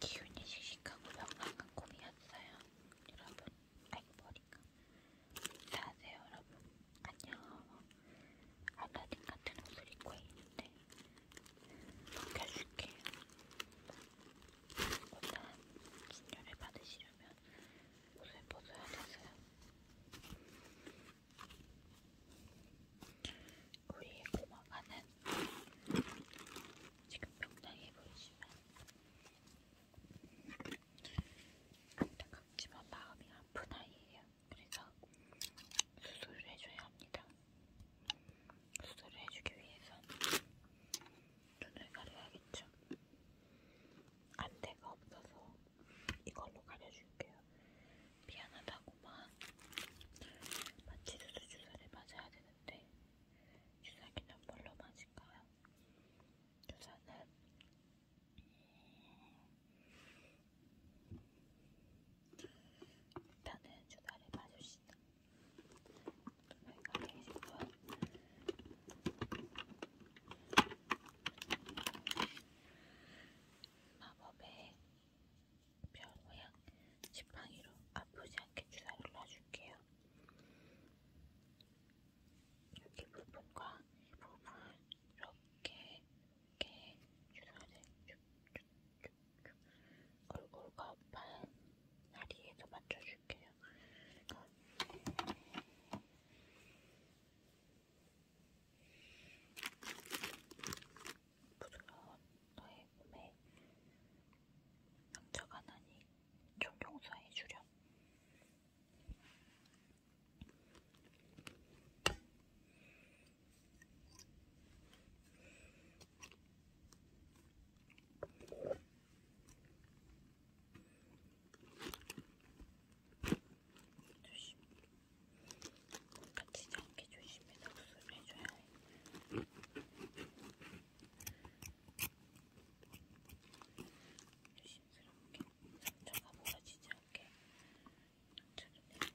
기운이 시식하고 명랑한 꿈이었어요. 여러분, 아이 머리가. 안녕하세요, 여러분. 안녕. 알라딘 같은 옷을 입고 있는데 먹여줄게요. 오늘 진료를 받으시려면 왜냐면 옷을 벗어야 돼서요. 우리 고마가는 지금 병당에 보이시면 안타깝지만 마음이 아픈 아이예요. 그래서 수술을 해줘야 합니다. 수술을 해주기 위해선 눈을 가려야겠죠. 안대가 없어서 이걸로 가려줄게요. 미안하다고만 마치 수술 주사를 맞아야 되는데 주사기는 뭘로 맞을까요? 주사는 일단은 주사를 맞읍시다. 마법의 별 모양 지팡이로 아프지 않게 주사를 놔줄게요. 여기 부분과 이 부분 이렇게 이렇게 주사를 쭉쭉쭉쭉 얼굴과 반 다리에도 맞춰. 보여드릴게요. 부드러운 너의 몸에 상처가 나니 좀 용서해주렴. 조심. 다치지 않게 조심해서 구슬을 해줘야 해. 조심스럽게 상처가 벌어지지 않게 천천히.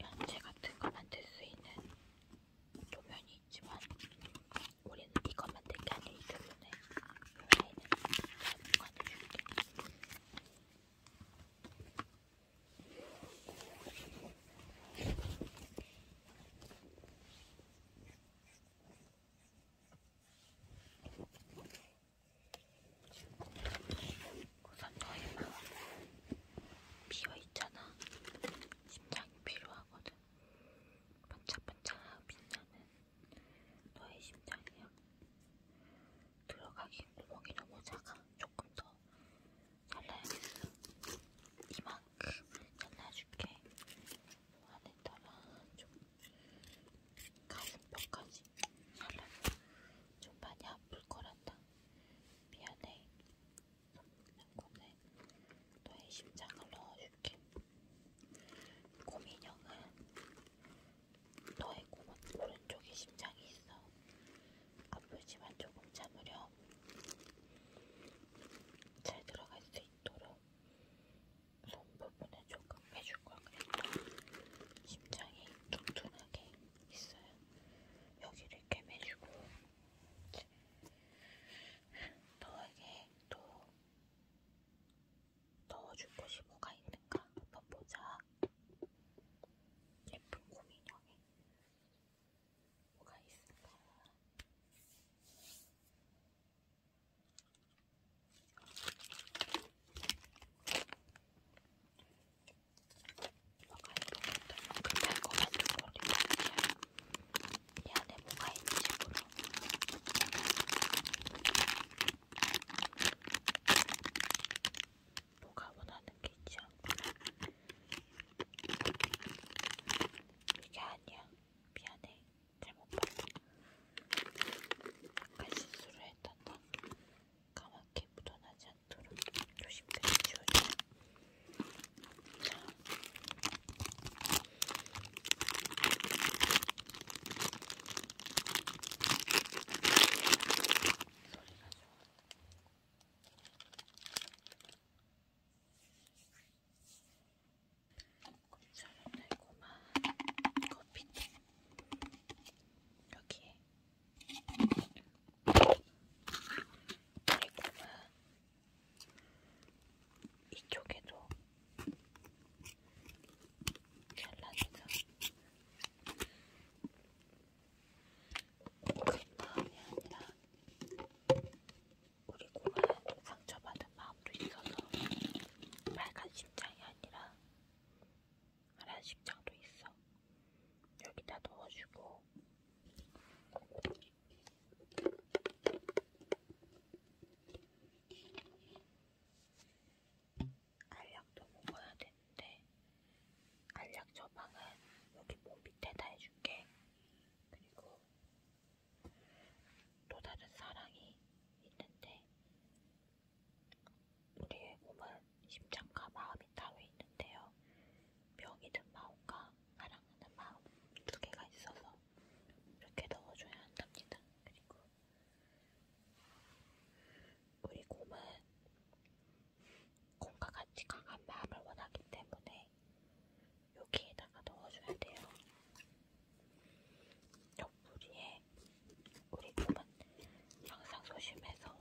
연재 같은 거 만들 수 있는 도면이 있지만 우리는 이거 만들 게 아니라 이 도면에 요새는 내가 보관해줄게. 우선 너의 마음 비어있잖아. 심장이 필요하거든. 반짝반짝 빛나는 너의 심장이야. 들어가긴 구멍이 너무 작아. 조금 더 잘라야겠어. 이만큼 잘라줄게. 안에다가 조금 가슴뼈까지 잘라서 좀 많이 아플 거란다. 미안해. 곰에 너의 심장을 넣어줄게. 곰인형은 너의 곰 오른쪽에 심장이 있어. 아프지만 조금 참으렴. 잘 들어갈 수 있도록 손 부분에 조금 빼줄 걸 그랬다. 심장이 뚱뚱하게 있어요. 여기를 이렇게 매주고 너에게 또 넣어줄 것이 뭐가 있는가 한번 보자. 예쁜 고민형에 뭐가 있을까? 뭐가 이쁘겠다. 그 달콤한 초콜릿 아니야. 이 안에 뭐가 있는지 모르. 뭐가 원하는 게 있지 않구나. 이게 아니야. 미안해. 잘못 봤어. 약간 실수를 했던다. 까맣게 묻어나지 않도록 조심스레 지워줘요. 자. 소리가 좋아. 곰살달콤한 커피티 여기에 달콤한 이쪽에도 잘라주죠. 큰 마음이 아니라 우리 공은 상처받은 마음도 있어서 빨간 심장이 아니라 파란 심장도 있어. 여기다 넣어주고 알약도 먹어야 되는데 알약 처방은 여기 몸 밑에다 해줄게. 그리고 또 다른 사랑이 있는데 우리의 몸은 심장과 마음이 따로 있는데요. 명이 든 마음과 사랑하는 마음 두 개가 있어서 이렇게 넣어줘야 한답니다. 그리고 우리 몸은 공과 같이 강한 마음을 원하기 때문에 여기에다가 넣어줘야 돼요. 옆구리에 우리 꿈은 항상 소심해서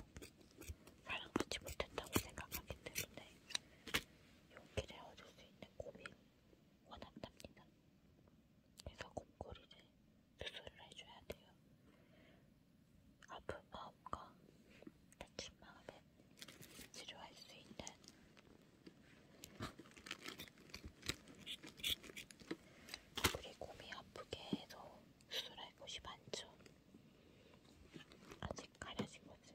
사랑받지 못했다고 생각하기 때문에 용기를 얻을 수 있는 고민 원한답니다. 그래서 곰꼬리를 수술을 해줘야 돼요. 아픈 마음과 다친 마음을 치료할 수 있는 그리고 몸이 아프게 해서 수술할 곳이 많죠. 아직 가려진 거지.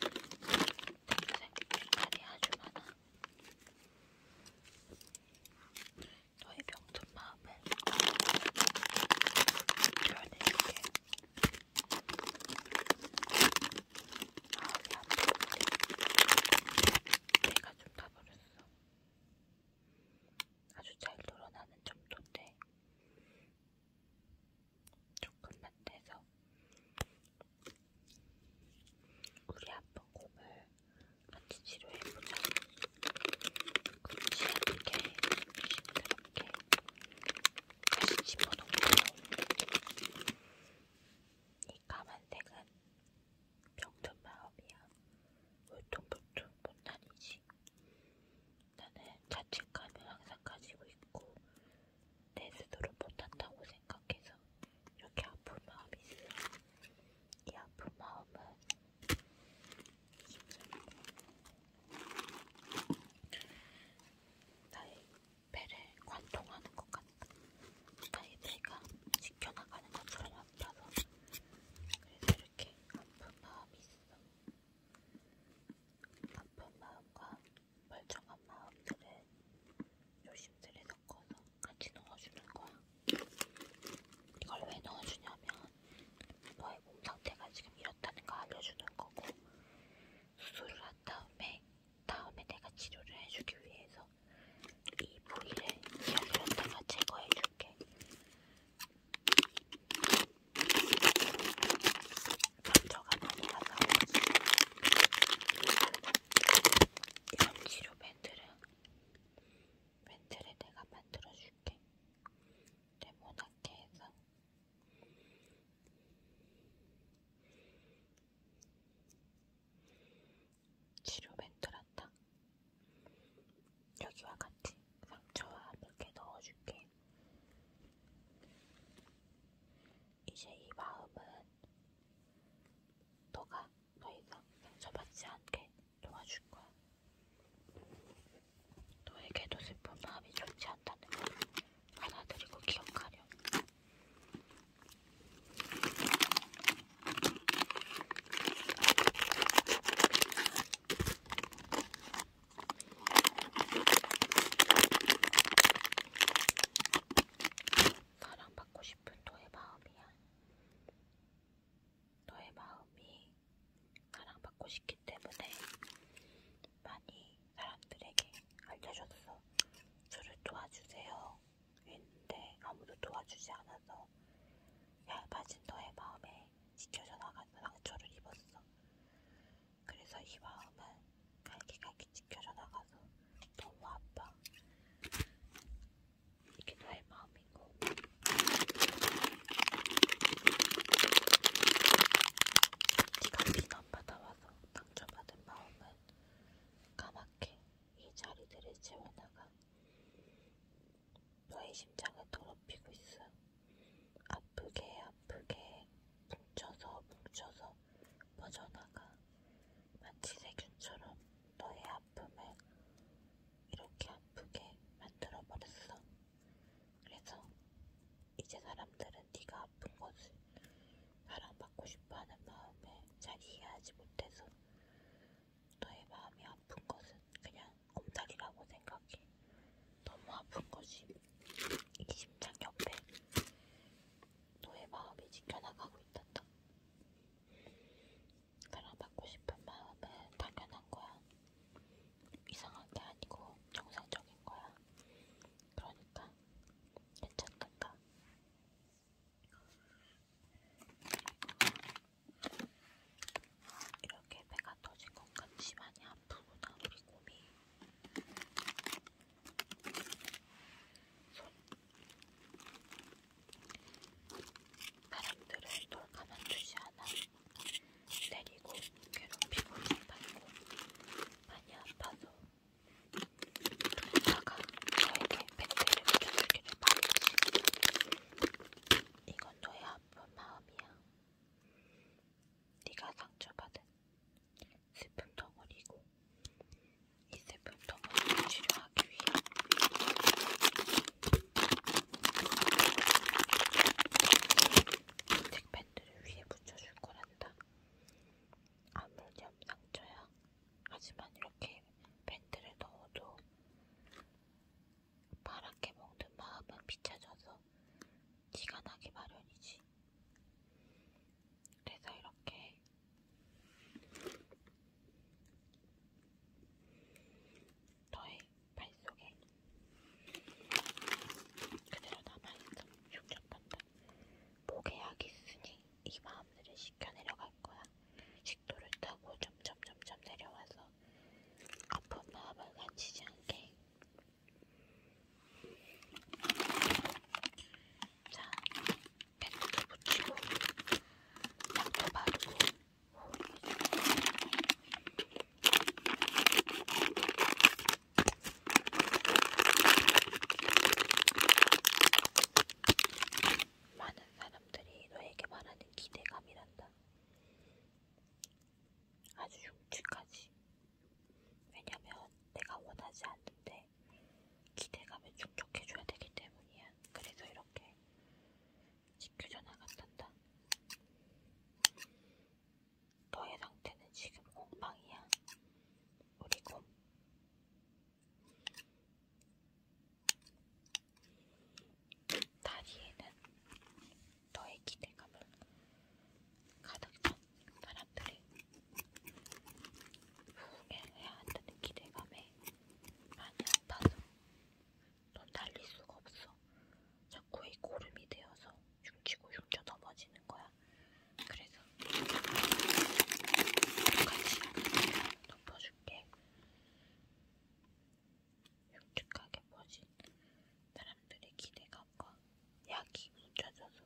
동생 말이 아주 많아. 너의 경돈 마음을 표현해줄게. 마음이 아프게 내가 좀 타버렸어. 아주 잘 드러나는 점도인데 조금만 떼서 우리 아픈 몸을 같이 치료해보자. 시원하게 시원하게 다시 집어넣고 이 까만색은 병든 마음이야. 울퉁불퉁 못다니지. 나는 자책감을 항상 가지고 있고 내 스스로 못한다고 생각해서 이렇게 아픈 마음이 있어. 이 아픈 마음은 나의 배를 관통하는 것 같다. 나의 배가 지켜나가는 것처럼 아파서 그래서 이렇게 아픈 마음이 있어. 아픈 마음과 멀쩡한 마음들을 조심스레 섞어서 같이 넣어주는 거야. 이걸 왜 넣어주냐면 너의 몸 상태가 지금 이렇다는 걸 알려주는 거고 수술을 한 다음에 다음에 내가 치료를 해주기 위해서 이 부위를 열렸다가 제거해줄게. 감정가 많이 나가오지. 이런 치료 밴드를 밴드를 내가 만들어줄게. 네모나게 해서 치료 멘트란다. 여기와 같이 상처와 함께 넣어줄게. 이제 이 마음은 너가 더 이상 상처받지 않게 도와줄 거야. 너에게도 슬픈 마음이 좋지 않다는 걸 받아들이고 기억하렴. 사랑받고 싶은 너의 마음이야. 너의 마음이 사랑받고 싶기 때문에 많이 사람들에게 알려줬어. 저를 도와주세요. 했는데 아무도 도와주지 않아서 얇아진 너의 마음에 지켜져 나가는 상처를 입었어. 그래서 이 마음은 갈기갈기 지켜져 나가서 너무 아파. 이게 너의 마음 대한민국. 네가 비난 받아와서 상처받은 마음은 까맣게 이 자리들을 채워나가 너의 심장을 더럽히고 있어. 아프게 아프게 뭉쳐서 뭉쳐서 퍼져나가 마치 세균처럼 너의 아픔을 이렇게 아프게 만들어버렸어. 그래서 이제 사람들은 네가 아픈 것을 사랑받고 싶어하는 마음에 잘 이해하지 못해서 너의 마음이 아픈 것은 그냥 곰다리라고 생각해. 너무 아픈 것이 이 심장 옆에 너의 마음이 지켜나가고 있단다. 사랑받고 싶은 마음은 당연한 거야. 이상한 게 아니고 정상적인 거야. 그러니까 괜찮단다. 이렇게 배가 터진 건가 심하니 아프구나 우리 곰이. 손. 사람들은 돌 가만두지 않아. 때리고 괴롭히고 밟고 많이 아파서 그러다가 저에게 백대를 붙여주기를 바랬지 이건 너의 아픈 마음이야 네가 상처받은 슬픈 덩어리고 이 슬픈 덩어리를 치료하기 위해 색밴드를 위에 붙여줄 거란다. 아무리 상처야. 하지만 이렇게 밴드를 넣어도 파랗게 먹는 마음은 비춰져서 티가 나기 마련이지. 그래서 이렇게 너의 발속에 그대로 남아있어. 흉접한다. 목계약이 있으니 이 마음들을 식혀 내려갈 거야. 식도를 타고 점점점점 내려와서 아픈 마음을 간치지 않게. 자, 팩트도 붙이고, 약도 바르고. 많은 사람들이 너에게 말하는 기대감이란다. 아주 흉측하지. 왜냐면 내가 원하지 않는데 기대감에 충족해줘야 되기 때문이야. 그래서 이렇게 지켜져 나간단다. 너의 상태는 지금 곰팡이야. 우리 곰. 다리에는 너의 기대감을 가득 찬 사람들이 후회해야 한다는 기대감에 많이 아파서 넌 달릴 수가 없어. 자꾸 이 고름이 되어서 흉치고 흉쳐 넘어지는 거야. 그래서 같이 덮어줄게. 흉측하게 퍼진 사람들의 기대감과 약이 뭉쳐져서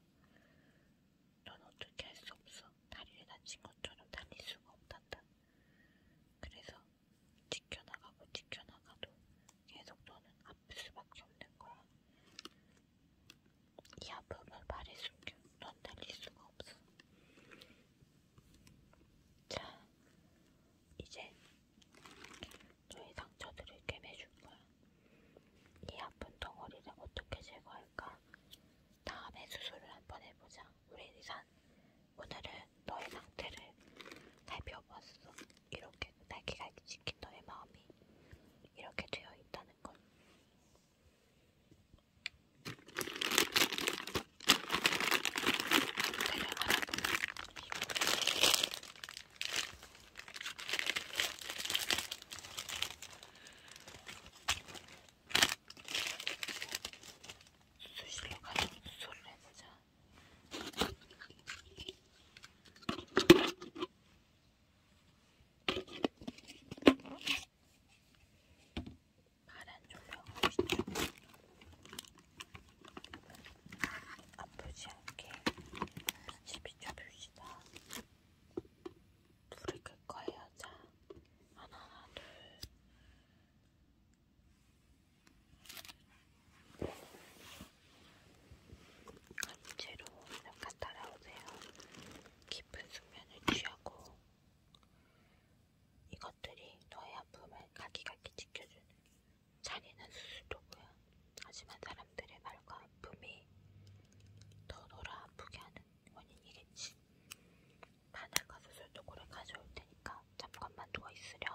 넌 어떻게 할 수 없어. 다리를 다친 것처럼 달릴 수가 없단다. 그래서 지켜나가고 지켜나가도 계속 너는 아플 수밖에 없는 거야. 이 아픔을 말에 숨겨. 넌 달릴 수가 없어. 자, 이제 너의 상처들을 꿰매줄 거야. 이 아픈 덩어리를 어떻게 제거할까? 다음에 수술을 한 번 해보자. 우리 의사 하지만 오늘은 너의 상태를 살펴봤어. 이렇게 날개갈기 시킨 너의 마음이 이렇게 되어 있다는 걸. 수시로 가서 수술을 해보자. 파란 조명 보시죠. 아프지 않게 같이 비춰봅시다. 불을 끌 거예요. 자, 하나, 둘, 간지로 잠깐 따라오세요. 깊은 숙면을 취하고 이것들이 너의 아픔을 가기가기 지켜주는 자리는 수술도구야. 하지만 사람들의 말과 아픔이 더 너를 아프게 하는 원인이겠지. 마늘과 수술도구를 가져올 테니까 잠깐만 누워있으렴.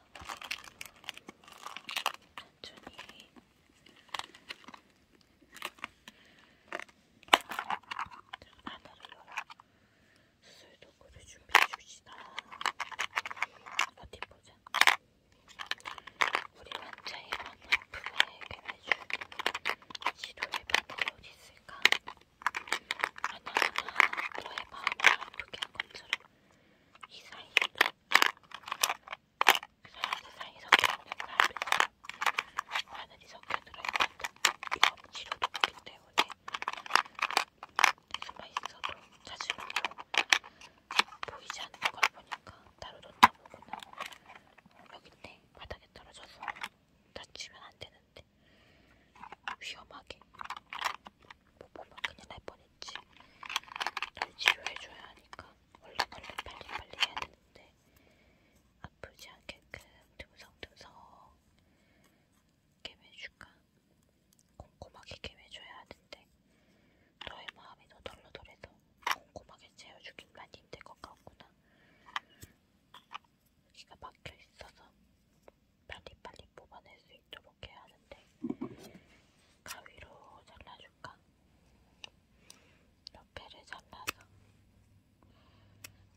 있습니다. 천천히. 하나를 열어. 수술 도구를 준비해 줍시다. 어디 보자. 우리 환자의 만 아픔을 해결해줄 치료의 바늘이 어디 있을까? 하나하나 너의 마음을 아프게 한 것처럼 이 사이, 그 사이즈 사이 섞여있는 쌀에서 마늘이 섞여 들어있는데 이건 치료도 없기 때문에 숨어 있어도 자주 보이지 않는 걸 보니까 따로 놓다 보구나. 여기네 바닥에 떨어져서 다치면 안 되는데 위험하게 못 보면 큰일 날 뻔했지. 날 치료해줘야 하니까 얼른 얼른 빨리 빨리 해야 되는데 아프지 않게끔 그 듬성듬성 개매줄까? 꼼꼼하게 개매줘야 하는데 너의 마음이 더 덜러덜해서 꼼꼼하게 채워주긴 많이 힘들 것 같구나. 여기가 막혀 있어서 빨리빨리 뽑아낼 수 있도록 해야 하는데 가위로 잘라줄까? 옆에를 잘라서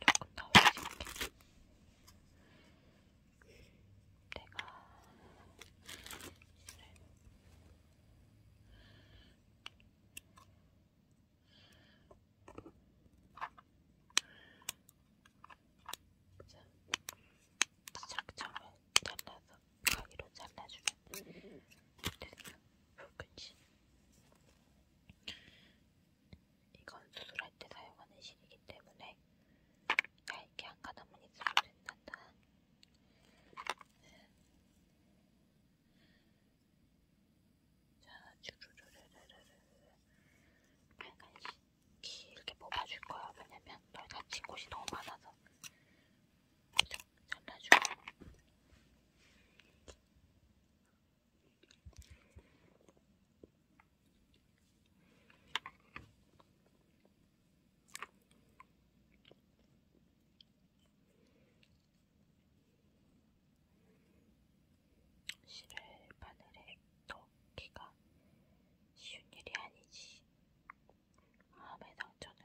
조금 더 올릴게. 내가 착점을 잘라서 가위로 잘라주면 됐어. 붉은실. 이건 수술할 때 사용하는 실이기 때문에 얇게 한 가닥만 있으면 된단다. 자, 주르르르르르 빨간실. 이렇게 뽑아줄 거야. 왜냐면 널 다친 곳이 너무 많아서. 잘라주고. 실을 바늘에 넣기가 쉬운 일이 아니지. 대신 마음의 상처는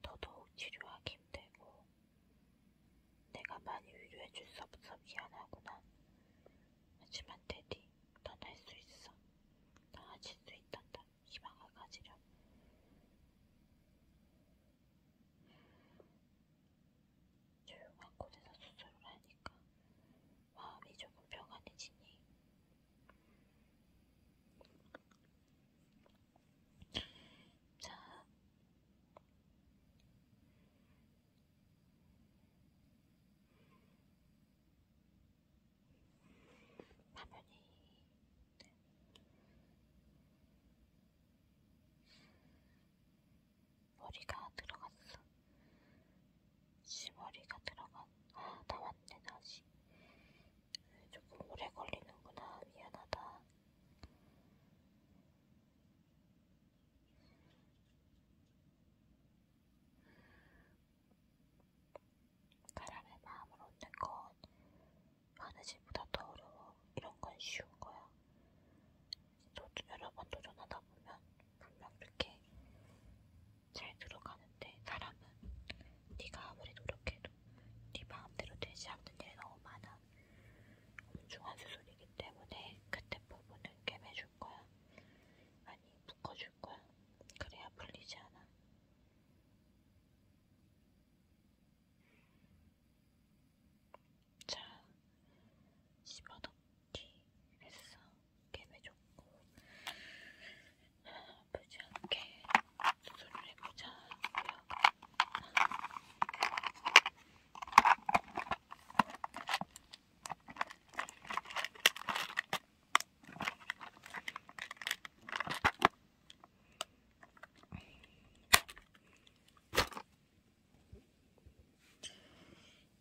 더더욱 치료하기 힘들고 내가 많이 위로해줄 수 없어 미안하구나. 하지만 테디, 넌할수 있어. 넌 하실 수 있단다. 희망을 가지렴. 조용한 곳에서 수술을 하니까 마음이 조금 평안해지니 자 화면이 머리가 들어갔어. 시머리가 들어간 아 나왔네 다시 조금 오래 걸리는구나 미안하다 사람의 마음을 얻는 건 바느질보다 더 어려워 이런 건 쉬운 거야 도, 여러 번 도전하다 보면 분명 이렇게 잘 들어가는데 사람은 네가 아무리 노력해도 네 마음대로 되지 않는 일이 너무 많아. 엄중한 수술이기 때문에 그때 부분은 꿰매줄 거야. 아니, 묶어줄 거야. 그래야 풀리지 않아. 자, 집어넣기 했어. 갭에 좋고 아프지 않게 수술을 해보자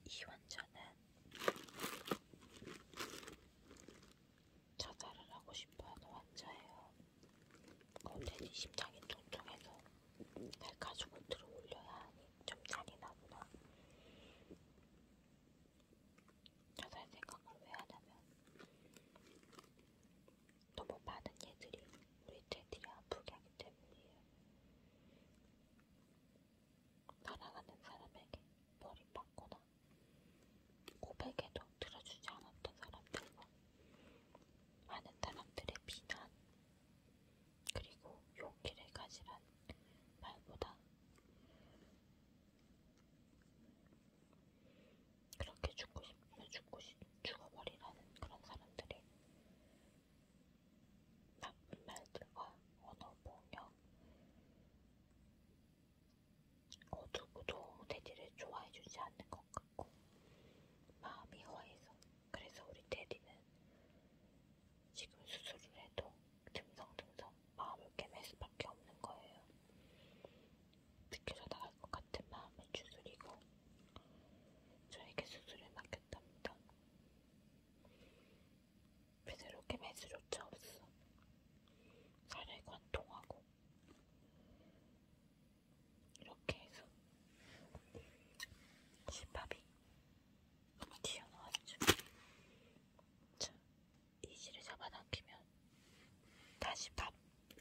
이 환자는 자살을 하고 싶어하는 환자예요. 건대지 심장이 통통해서 날 가지고 들어 올려야 하니 좀 잔인하구나. 자살 생각을 왜 하냐면 너무 많은 얘들이 우리 애들이 아프게 하기 때문이에요. 사랑하는 사람에게 버림받거나 고백에도 들어주지 않았던 사람들과 많은 사람들의 비난 그리고 용기를 가지란 말보다 그렇게 죽고 싶으면 죽고 싶, 죽어버리라는 그런 사람들이 나쁜 말들과 언어 폭력 어, 누구도 테디를 좋아해주지 않는 것 같고 마음이 허해서 그래서 우리 테디는 지금 수술을 해도 듬성듬성 마음을 깨맬 수밖에 없는 거예요. 느껴져 나갈 것 같은 마음을 주술이고 저에게 수술을 맡겼답니다. 베드로께 매수조차 없어. 살을 관통하고 이렇게 해서 실밥이 너무 튀어나왔죠. 자, 이지를 잡아당기면 다시 밥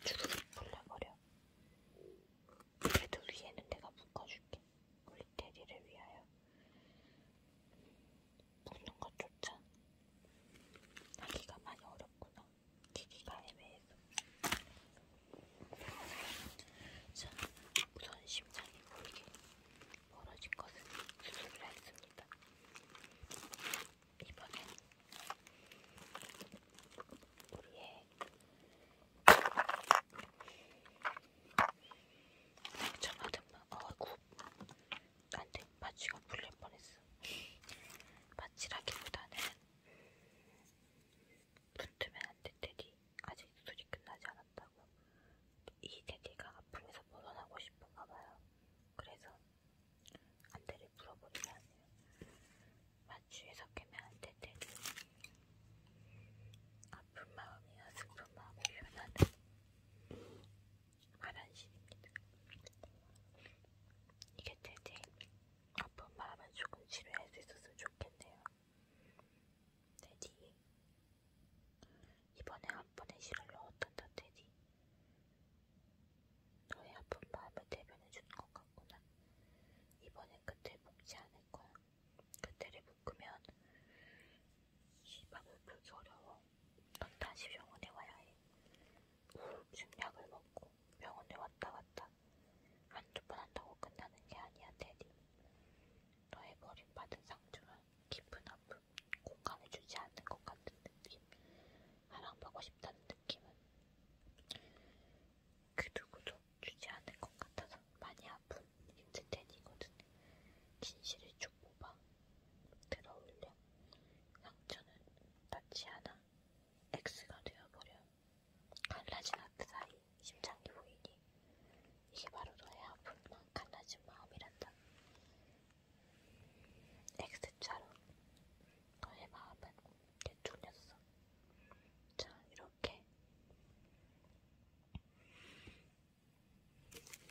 주르륵 불러버려. 그래도 위에는 내가 묶어줄게. 우리 테디를 위하여 묶는 것조차 하기가 많이 어렵구나. 기기가 애매해서. 자, 우선 심장이 보이게 벌어진 것을 수술을 했습니다. 이번엔 우리의 참아든만 어이구 안돼 마취가 풀릴 뻔했어 마취라기보다는 붙으면 안돼 테디 아직 소리 끝나지 않았다고 이 테디가 아픔에서 벗어나고 싶은가봐요 그래서 안대를 풀어버리면 안돼요 마취에 섞이면 안돼 테디 아 아픈 마음이나 슬픈 마음을 표현하는 가란신입니다. 이게 되지? 아픈 마음은 조금 치료할 수 있었으면 좋겠네요. 테디 이번에 한 번에 실을 넣었던다 테디 너의 아픈 마음을 대변해 주는 것 같구나 이번엔 그때 묵지 않을 거야 그때를 먹으면 시밥을 풀기 어려워. 넌 다시 병원에 와야 해. 우울증 약을 먹고 병원에 왔다 갔다 한두 번 한다고 끝나는 게 아니야, 대리. 너의 버림받은 상처는 깊은 아픔, 공감해주지 않는 것 같은 느낌, 사랑받고 싶다는 느낌은 그 누구도 주지 않을 것 같아서 많이 아픈 힌트 텐이거든. 진실을 쭉 뽑아 들어올려. 상처는 닿지 않아. X가 되어버려. 갈라진 하트 사이 심장이 보이니 이게 바로 너의 아픈 만 갈라진 마음이란다. X자로 너의 마음은 되돌렸어. 자 이렇게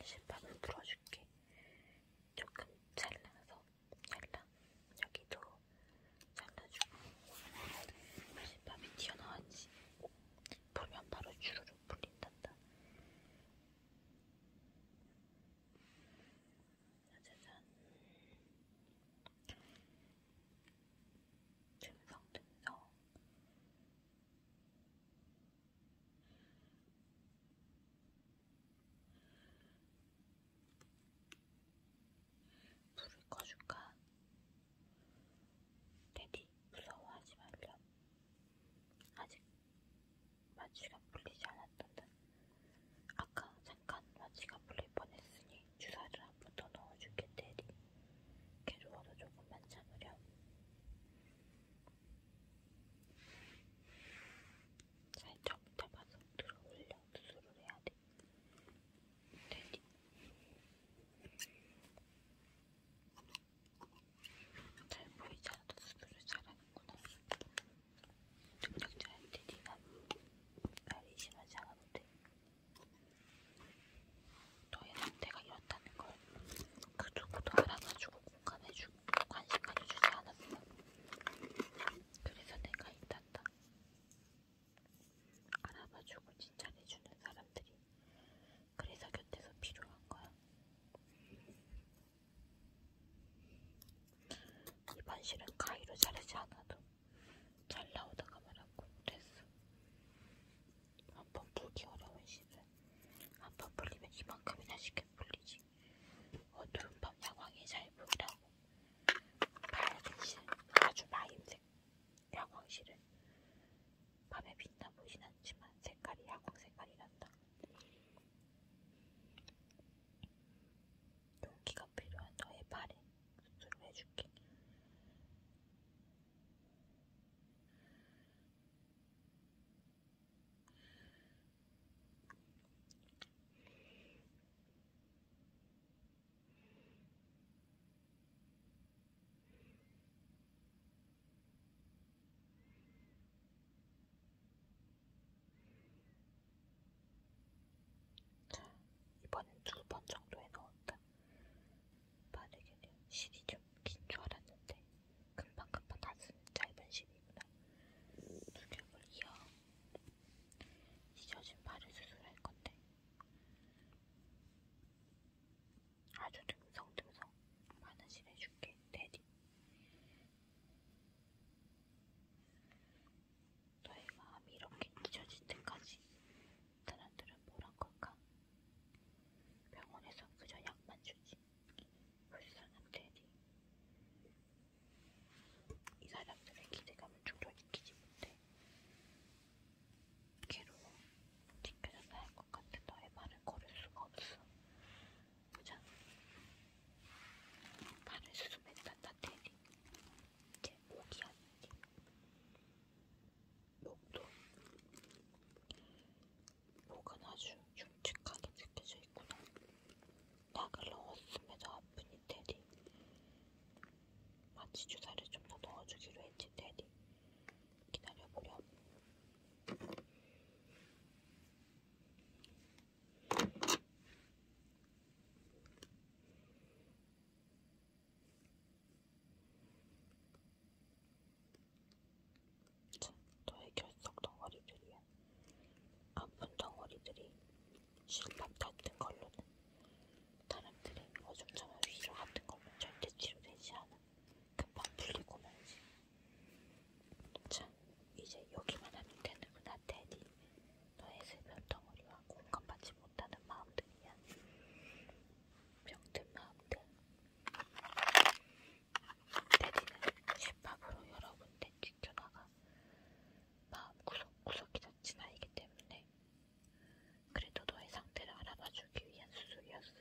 신발을 풀어줄게. 조금 잘라서 잘라. 여기도 잘라주고 신밥이 튀어나왔지. 보면 바로 주르륵 풀린단다. 짜자잔. 듬성듬성 불을 꺼줄까? 테디 무서워하지 말렴. 아직 마취가 풀리지 않았던데 아까 잠깐 마취가 풀릴 뻔했으니 주사를 한 번 더 넣어줄게 테디. 괴로워도 조금만 참으렴. 살짝 잡아서 들어 올려 수술을 해야 돼. 되니? 잘 보이지 않아도 수술을 잘하는구나. 능력자한테 니가 말이 심하지 않아도 돼. 너의 상태가 이렇다는 걸 그 누구도 알아봐주고 공감해주고 관심 가져주지 않았어. 그래서 내가 있단다. 알아봐주고 칭찬해주는 사람들이 그래서 곁에서 필요한 거야. 이번 실은 가위로 자르지 않아도 잘 나오다가 말았고 됐어. 한번 풀기 어려운 시은 한 번 풀리면 이만큼이나 쉽게 풀리지. 어두운 밤 야광이 잘 보이라고. 파란색 실, 아주 마임색 야광실은 밤에 빛나 보진 않지만 색깔이 야광 색깔이란다. 용기가 필요한 너의 발에 수술을 해줄게. 자, 이번엔 두 번 정도 해놓은다. 바르게는 실이죠. 긴줄 알았는데 금방금방 다 쓰는 짧은 실이구나. 두겹을 이어 찢어진 발을 수술할 건데 아주 듬성듬성 많은 실 해줄게, 데디. 너의 마음이 이렇게 잊어질 때까지 사람들은 뭐란 걸까? 병원에서 그저 약만 주지. 불쌍한 테디. 이 사람들의 기대감을 충족시키지 못해. 괴로워. 지켜져야 할것 같아. 너의 말을 걸을 수가 없어. 보자. 발을 수습했단다 테디. 이제 목이 아니지. 목도 목은 아주 흉측하게 느껴져 있구나. 약을 넣었음에도 아프니 테디. 마취 주사를 좀 더 넣어주기로 했지 테디. 기다려보렴. 저의 결석 덩어리들이야. 아픈 덩어리들이 실밥 같은 걸로는 사람들의 어중점한 위로 같은 걸로 절대 치료되지 않아. 금방 풀리고 말지. 자, 이제 여기만 하면 되는구나, 테디. 너의 슬픈 덩어리와 공감받지 못하는 마음들이야. 병든 마음들, 대디는 셰밥으로 여러 군데 지켜나가 마음 구석구석이 다지나이기 때문에 그래도 너의 상태를 알아봐주기 위한 수술이었어.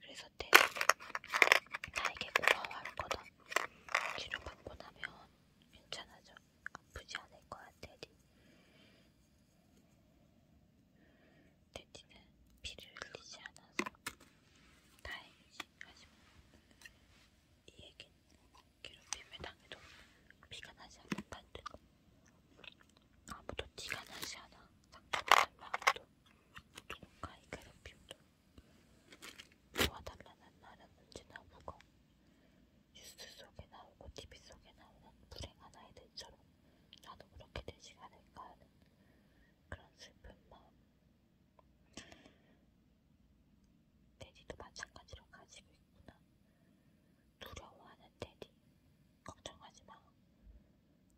그래서 대는 나에게 고마워할 거다. 치료받고 나면 괜찮아져. 아프지 않을 거야, 대디. 돼지는 피를 흘리지 않아서 다행이지 하지만 이 얘기는 괴롭힘을 당해도 피가 나지 않는다는 뜻 아무도 티가 나지 않아 상처받는 마음도 누군가의 괴롭힘도 도와달라는 말은 언제나 무거워 뉴스 속에 나오고 TV 속에 나오는 불행한 아이들처럼 나도 그렇게 되지 않을까 하는 그런 슬픈 마음. 데디도 마찬가지로 가지고 있구나. 두려워하는 데디. 걱정하지 마.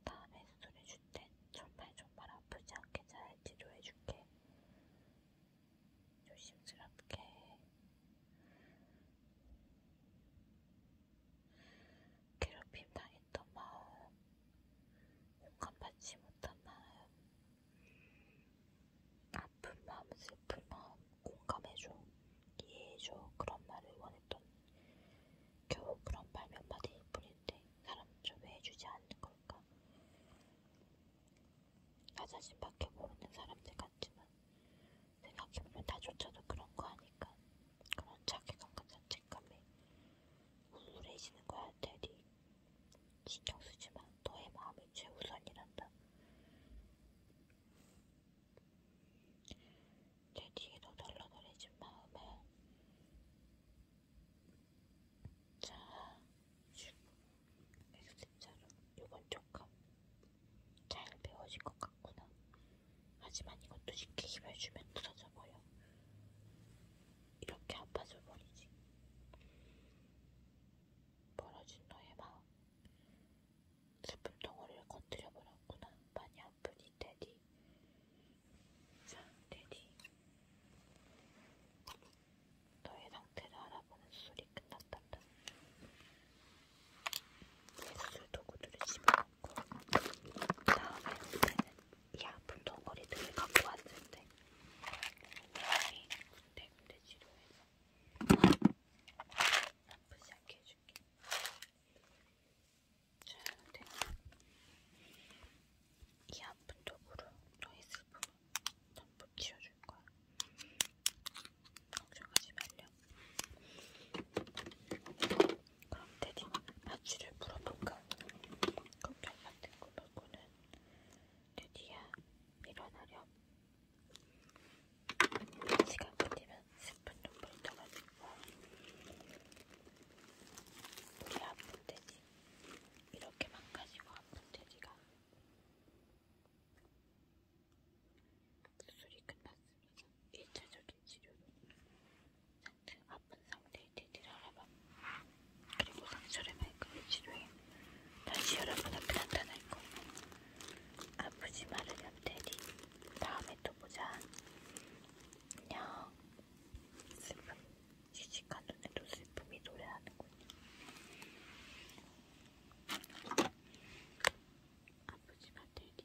다음에 수술해줄 땐 정말 정말 아프지 않게 잘 치료해줄게. 조심스럽게. 괴롭힘 당했던 마음, 공감받지 못한 마음, 아픈 마음, 슬픈 마음, 공감해줘, 이해해줘 그런 말을 원했던 겨우 그런 말몇 마디일 뿐인데 사람 좀왜 해주지 않는 걸까? 나 자신밖에 모르는 사람들 같지만 생각해보면 나조차도 그런 거 아닐까? 그런 자괴감 같은 죄책감에 우울해지는 거야, 테디. 신경 쓰지 마. 너의 마음이 최우선이란다. 테디로 덜러덜해진 마음에 자, 엑스자로 요건 조금 잘 배워질 것 같아. 같구나. 하지만 이것도 쉽게 힘을 주면 부러져 버려. 이렇게 아파져 버리지. 벌어진 너의 마음. 슬픔 덩어리를 건드려 버렸구나. 많이 아프니, 데디. 자, 데디. 너의 상태를 알아보는 수술이 끝났단다. 내 수술 도구들을 집어넣어 다음에 그때는 이 아픈 덩어리들을 갖고 왔을 때 사람이 군데군데 치료해서 아프지 않게 해줄게. 저한테 이 아픈 쪽으로 너의 슬픔을 전부 치워줄 거야. 걱정하지 말렴. 그럼 대디는 아치를 물어볼까? 그렇게 같은 거 말고는 대디야 일어나렴. 시간 끝이면 10분 정도 있다가지고 우리 아픈 돼지 이렇게 망가지고 아픈 돼지가 수술이 끝났어. 일차적인 치료로 아픈 상태의 대디를 알아봐. 그리고 상처를 말끔히 치료해. 다시 여러분 앞에 나타날 거야. 아프지 말으렴 대디. 다음에 또 보자. 안녕. 슬픔. 지식한 눈에도 슬픔이 노래하는군요. 아프지 마 대디.